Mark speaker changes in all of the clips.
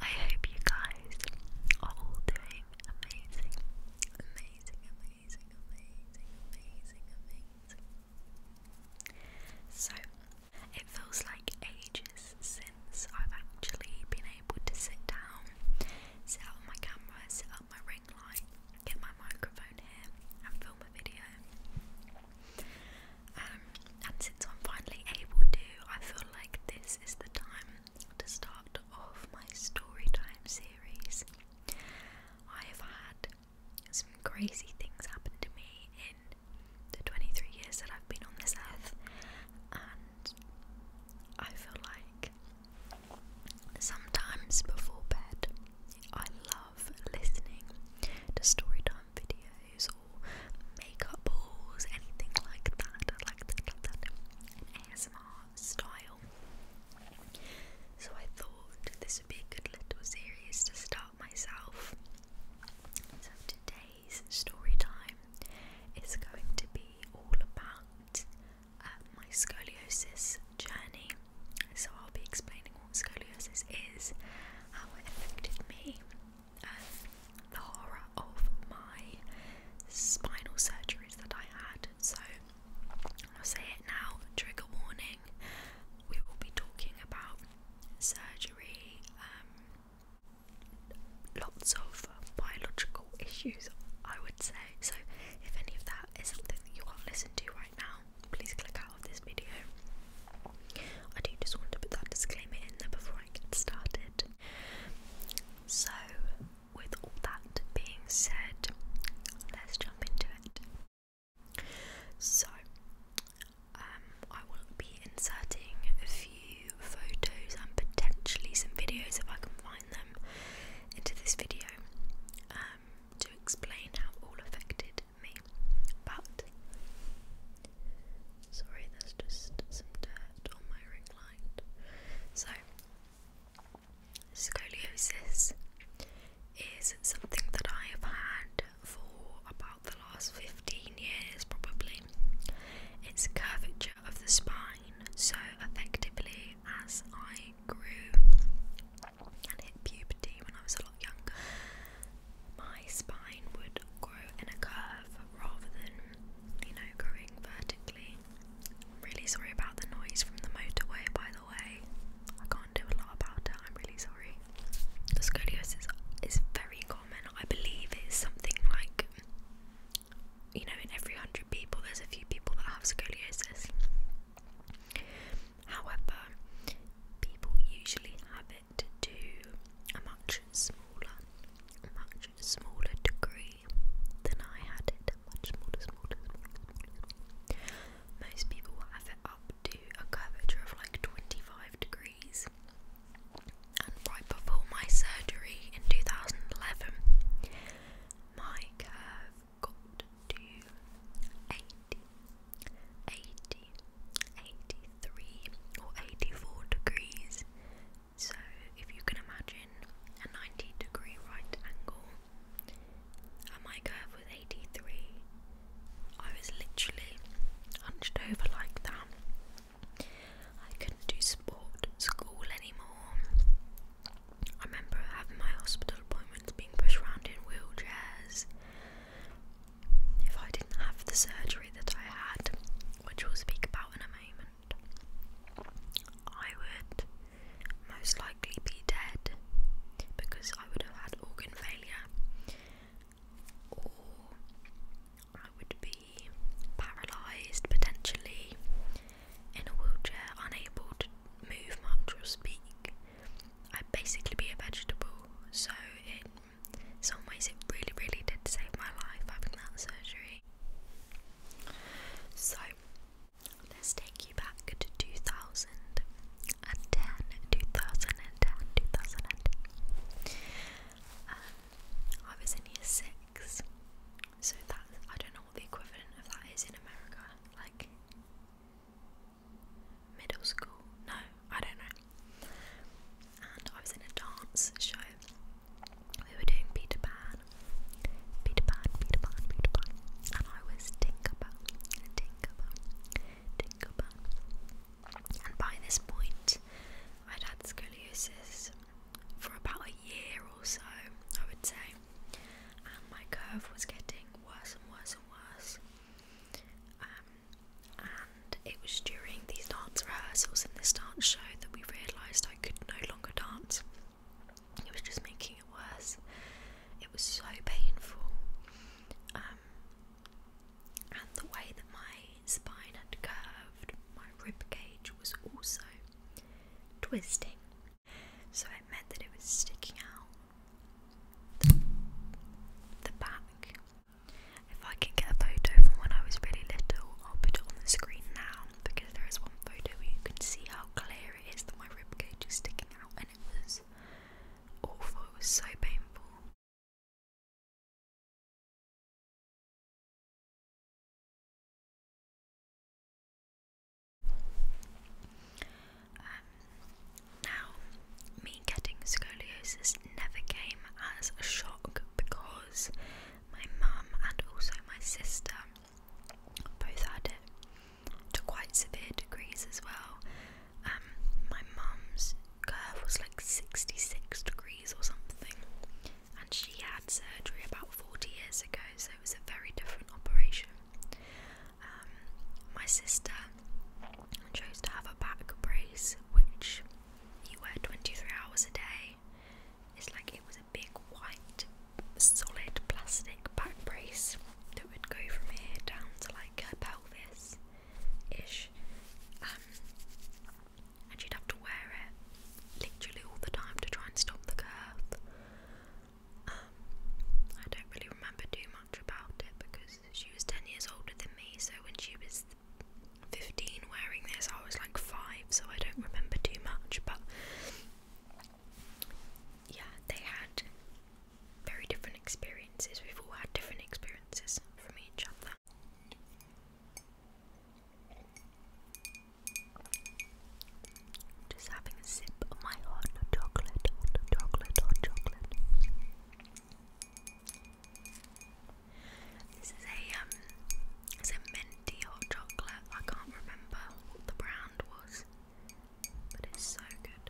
Speaker 1: I hope you guys are all doing amazing, amazing, amazing, amazing, amazing, amazing. So, it feels like ages since I've actually been able to sit down, set up my camera, set up my ring light, get my microphone here, and film a video. Um, and since I'm finally able to, I feel like this is the time to start off my story time series. I have had some crazy things happen to me in the 23 years that I've been on this earth, and I feel like sometimes before bed I love listening to storytime videos or makeup anything like that, like ASMR style. So I thought this would be a good little series to start myself. So today's story time is going to be all about uh, my scoliosis journey. So I'll be explaining what scoliosis is, how it affected me, um, the horror of my spinal surgeries that I had. So I'll say it now, trigger warning. We will be talking about surgery, um, lots of biological issues, I would say. So, if any of that is something that you can't listen to right now, please click out of this video. I do just want to put that disclaimer in there before I get started. So, with all that being said, let's jump into it. So, um, I will be inserting a few photos and potentially some videos if I can find them into this video um, to explain how all affected me. But, sorry, there's just some dirt on my ring so, scoliosis is something that I have had for about the last 15 years, probably. It's curvature of the spine, so effectively, as I grew and hit puberty when I was a lot younger, my spine would grow in a curve rather than, you know, growing vertically. I'm really sorry about the noise from the motorway, by the way. I can't do a lot about it, I'm really sorry. The scoliosis is very common. I believe it's something like, you know, in every hundred people, there's a few people that have scoliosis. However, people usually have it to a much smaller, much much smaller degree than I had it. Much smaller, smaller, smaller, Most people have it up to a curvature of like 25 degrees. And right before my surgery in 2011, my curve got to 80, or 84 degrees so, if you can imagine a 90 degree right angle and my curve with 83, I was literally hunched over like that. I couldn't do sport, school anymore. I remember having my hospital appointments being pushed around in wheelchairs. If I didn't have the surgery that I had, which we'll speak about in a moment, I would most likely be dead because I would have had organ failure, or I would be paralysed potentially in a wheelchair, unable to move much or speak. I'd basically be a vegetable, so in some ways, it really, really did save my life having that surgery. So let's take you back to 2010, 2010, 2010. Um, I was in year six, so that I don't know what the equivalent of that is in America, like middle school. No, I don't know. And I was in a dance show we were doing Peter Pan, Peter Pan, Peter Pan, Peter Pan, and I was Tinkerbell, Tinkerbell, Tinkerbell. And by this point, I'd had scoliosis for about a year or so, I would say, and my curve was getting worse and worse and worse. Um, and it was during these dance rehearsals and this dance show that we realised I could no longer dance. It was just making it worse. It was so painful. Um, and the way that my spine had curved, my rib cage was also twisting. So it meant that it was sticking out the back. If I can get a photo from when I was really little, I'll put it on the screen now because there is one photo where you can see how clear it is that my ribcage is sticking out, and it was awful, it was so painful. Um, now, me getting scoliosis never came as a shock because my mum and also my sister both had it to quite severe degrees as well. Um, my mum's curve was like 66 degrees or something, and she had surgery about 40 years ago, so it was a very different operation. Um, my sister chose to have a back brace, which you wear 23 hours a day. It's like it was a big white solid plastic back brace that would go from here down to like her pelvis ish. Um, and she'd have to wear it literally all the time to try and stop the curve. Um, I don't really remember too much about it because she was 10 years older than me, so when she was 15 wearing this. I was like 5, so I don't remember too much, but yeah, they had very different experiences. We've all had different experiences from each other. Just having a sip of my hot chocolate, hot chocolate, hot chocolate. This is a um, it's a minty hot chocolate. I can't remember what the brand was, but it's so good.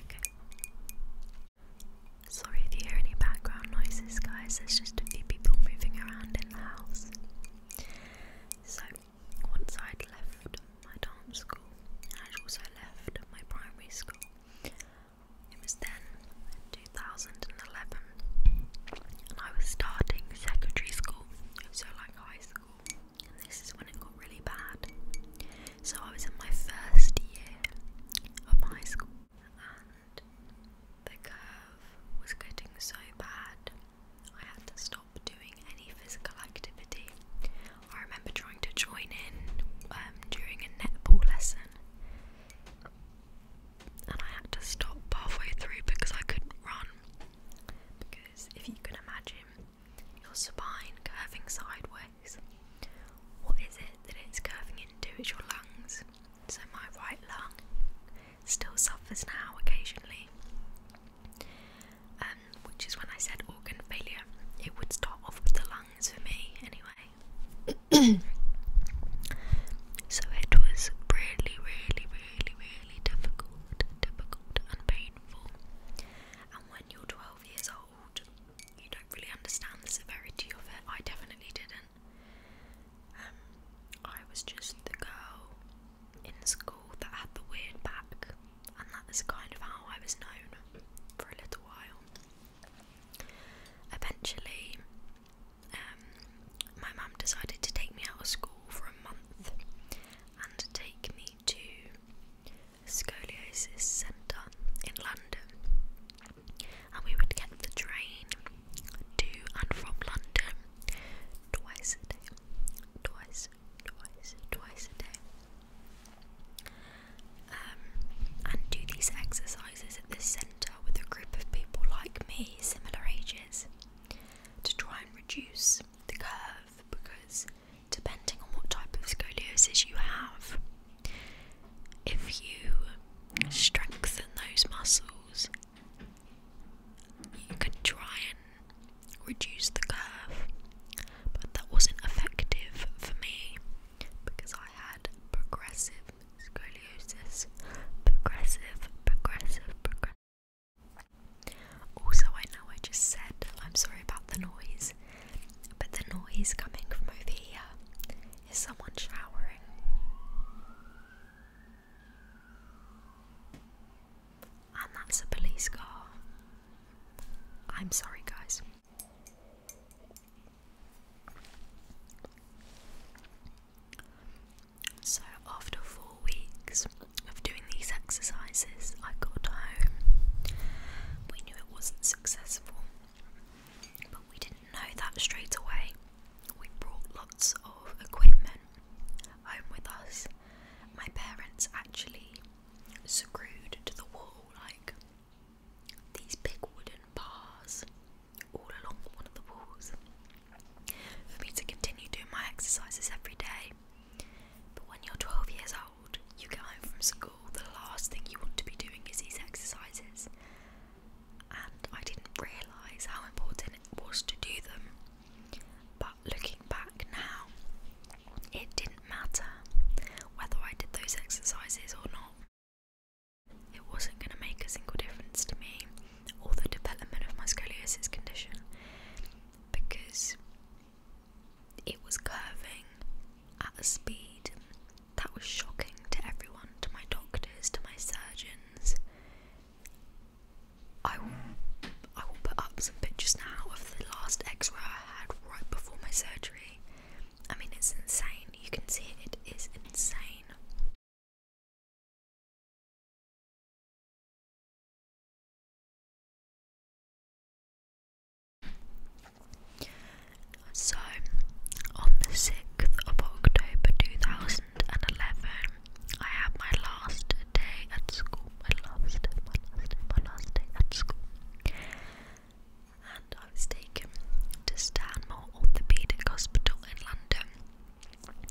Speaker 1: Okay. Sorry if you hear any background noises, guys. There's just a few people moving around in the house. So, once i left my dance school, I'd also left my primary school, it was then 2011, and I was starting secondary school, so like high school, and this is when it got really bad. So I was in my first year of high school, and the curve was getting so bad, I had to stop doing any physical activity. I remember trying to join in um, during a netball lesson, and I had to stop halfway through because I couldn't run. Because if you can imagine your spine curving sideways, what is it that it's curving into? is your lungs. So my right lung still suffers now occasionally. Um, which is when I said organ failure. It would start off with the lungs for me anyway. so it was really, really, really, really difficult, difficult and painful. And when you're 12 years old, you don't really understand the severity of it. I definitely didn't. Um, I was just the girl in school that had the weird back, and that was kind of how I was known for a little while. Eventually, um, my mum decided to take me out of school for a month and take me to scoliosis centre in London. And we would get the train to and from London twice a day, twice, twice, twice a day. Um, and do these exercises at this centre with a group of people like me, similar ages, to try and reduce the curve because depending on what type of scoliosis you have, if you strengthen those muscles, you can try and reduce the curve, but that wasn't effective for me because I had progressive scoliosis, progressive, progressive, progressive. Also, I know I just said I'm sorry about the noise, but the noise coming from over here is someone showering. And that's a police car. I'm sorry, guys. So, after four weeks of doing these exercises, I got home. We knew it wasn't successful, but we didn't know that straight away. We brought lots of equipment home with us. My parents actually screwed to the wall like these big wooden bars all along one of the walls for me to continue doing my exercises every day. But when you're 12 years old, you get home from school, the last thing you want to be doing is these exercises. And I didn't realise how important it was to do them. But looking back now, it didn't matter whether I did those exercises or not. It wasn't going to make a single difference to me or the development of my scoliosis condition because it was curving at a speed that was shocking to everyone, to my doctors, to my surgeons. I will, put up some pictures now of the last x ray I had right before my surgery. I mean, it's insane. You can see it is insane. So, on the 6th of October 2011, I had my last day at school. My last, my last, my last day at school and I was taken to Stanmore Orthopaedic Hospital in London,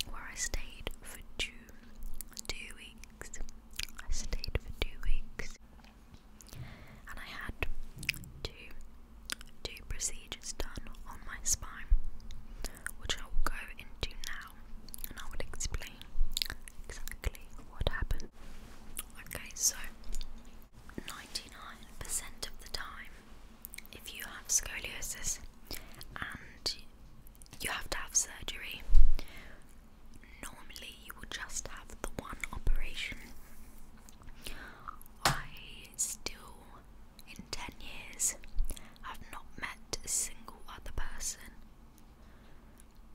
Speaker 1: where I stayed for two, two weeks. I stayed for two weeks, and I had two, two procedures done on my spine, which I will go into now, and I will explain exactly what happened. Okay, so 99% of the time, if you have scoliosis and you have to have surgery, normally you will just have the one operation. I still, in 10 years, have not met a single other person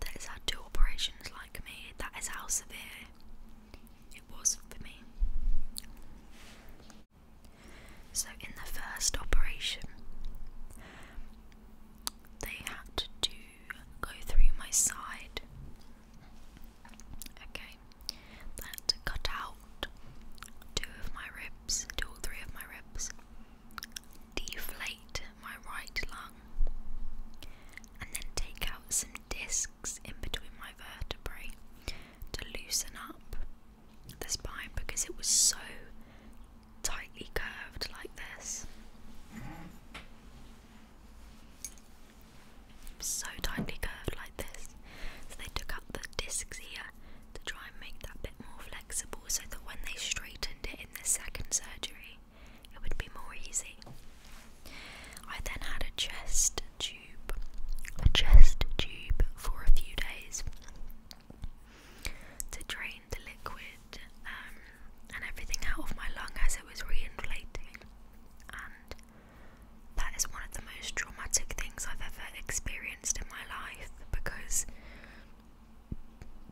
Speaker 1: that has had two operations like me. That is how severe it wasn't for me. So, in the first operation, they had to do, go through my side. Okay, they had to cut out two of my ribs, two or three of my ribs, deflate my right lung, and then take out some discs in between my vertebrae to loosen up the spine because it was so tightly curved like this. So tightly curved like this. So they took out the discs here to try and make that bit more flexible so that when they straightened it in the second surgery, it would be more easy. I then had a chest tube, a chest tube for a few days to drain the liquid um, and everything out of my lung as it was re-inflating, And that is one of the most traumatic things I've ever experienced in my life because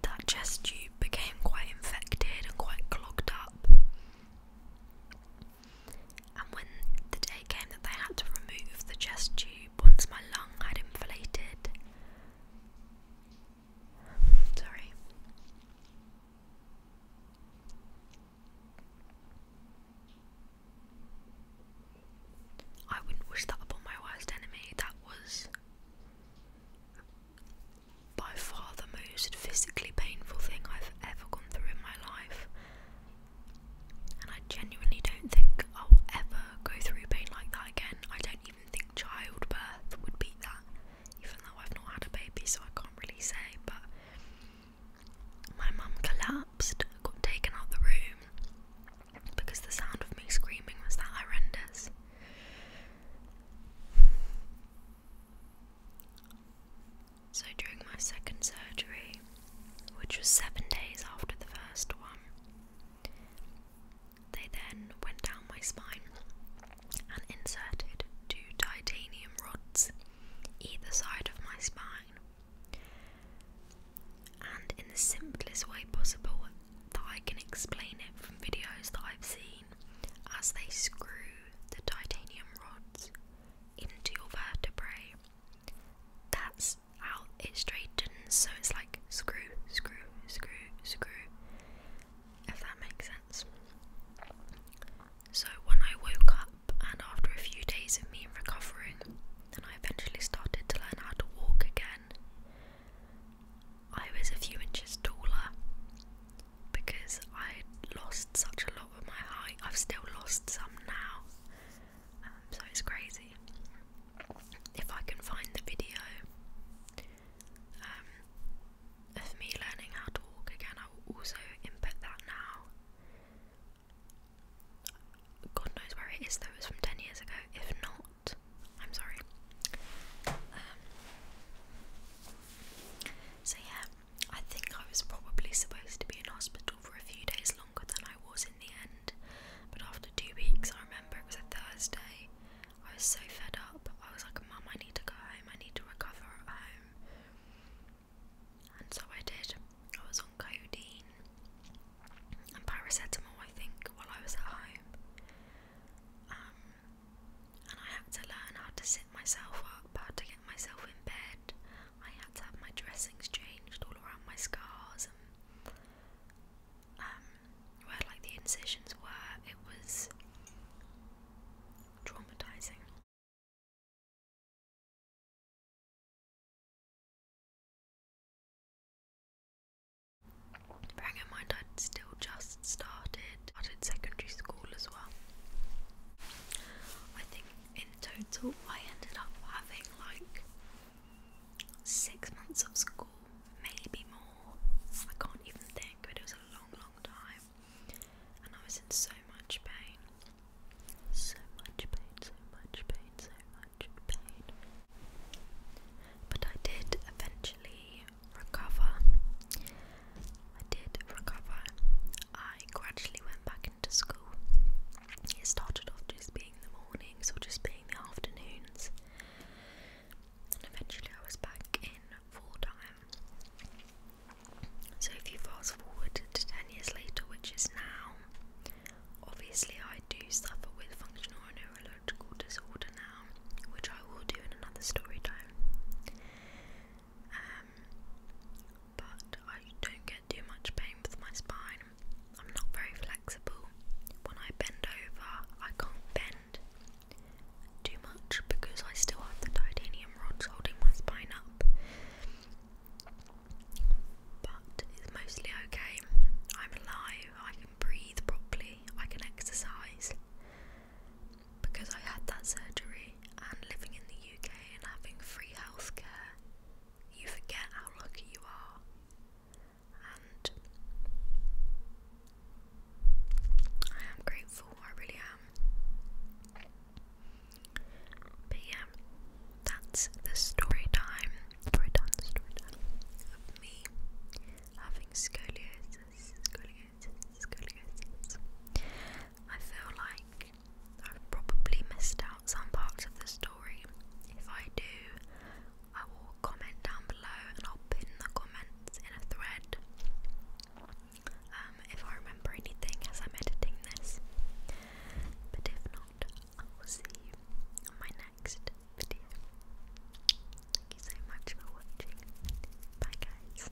Speaker 1: that chest tube became quite infected and quite clogged up and when the day came that they had to remove the chest tube once my lung had inflated. Sorry. I wouldn't wish that upon my worst enemy. That was by far the most physically painful thing I've ever gone through in my life. And I genuinely don't think I'll ever go through pain like that again. I don't even think childbirth would beat that, even though I've not had a baby, so I can't really say. But my mum collapsed, got taken out the room because the sound of me screaming was that horrendous. So during my second surgery, which was seven days after the first one, they then went down my spine and inserted two titanium rods either side of my spine. And in the simplest way possible that I can explain it from videos that I've seen, as they screw the titanium rods into your vertebrae. That's how it straightens, so it's like screw, screw, screw, screw, if that makes sense. So, when I woke up, and after a few days of me recovering, and I eventually started to learn how to walk again, I was a few inches taller because I'd lost such a lot of my height. I've still lost some now, um, so it's crazy. If I can find the video um, of me learning how to walk again, I will also input that now. God knows where it is though, from 10 years ago. If not, I'm sorry. Um, so, yeah, I think I was probably supposed to be in hospital for a few days longer than I was in the end, but after two weeks, I remember it was a Thursday. I was so fed up. I was like, Mum, I need to go home. I need to recover at home. And so I did. I was on codeine and paracetamol, I think, while I was at home. Um, and I had to learn how to sit myself up, how to get myself in bed, I had to have my dressings changed all around my scars and um, where like the incisions were. It was traumatizing. Bearing in mind, I'd still just started started secondary school as well. I think in total, I ended up having like six months of school, maybe more. I can't even think, but it was a long, long time. And I was in so much pain. So much pain, so much pain, so much pain. But I did eventually recover. I did recover, I gradually went back into school. It started off just being the mornings or just being the afternoons, and eventually I was back in full time. So, if you fast forward to 10 years later, which is now, obviously I do suffer with functional and neurological disorder now, which I will do in another story time but I don't get too much pain with my spine. I'm not very flexible. When I bend over, I can't bend too much because I still have the titanium rods holding my spine up. But it's mostly okay. I'm alive, I can breathe properly, I can exercise. Because I had that surgery and living in the UK and having free healthcare, you forget how lucky you are. I am grateful, I really am. But yeah, that's the story time, story time, story time me having scoliosis, scoliosis, scoliosis. I feel like I've probably missed out some parts of the story. If I do, I will comment down below and I'll pin the comments in a thread. Um, if I remember anything as I'm editing this. But if not, I will see you on my next video. Thank you so much for watching. Bye guys.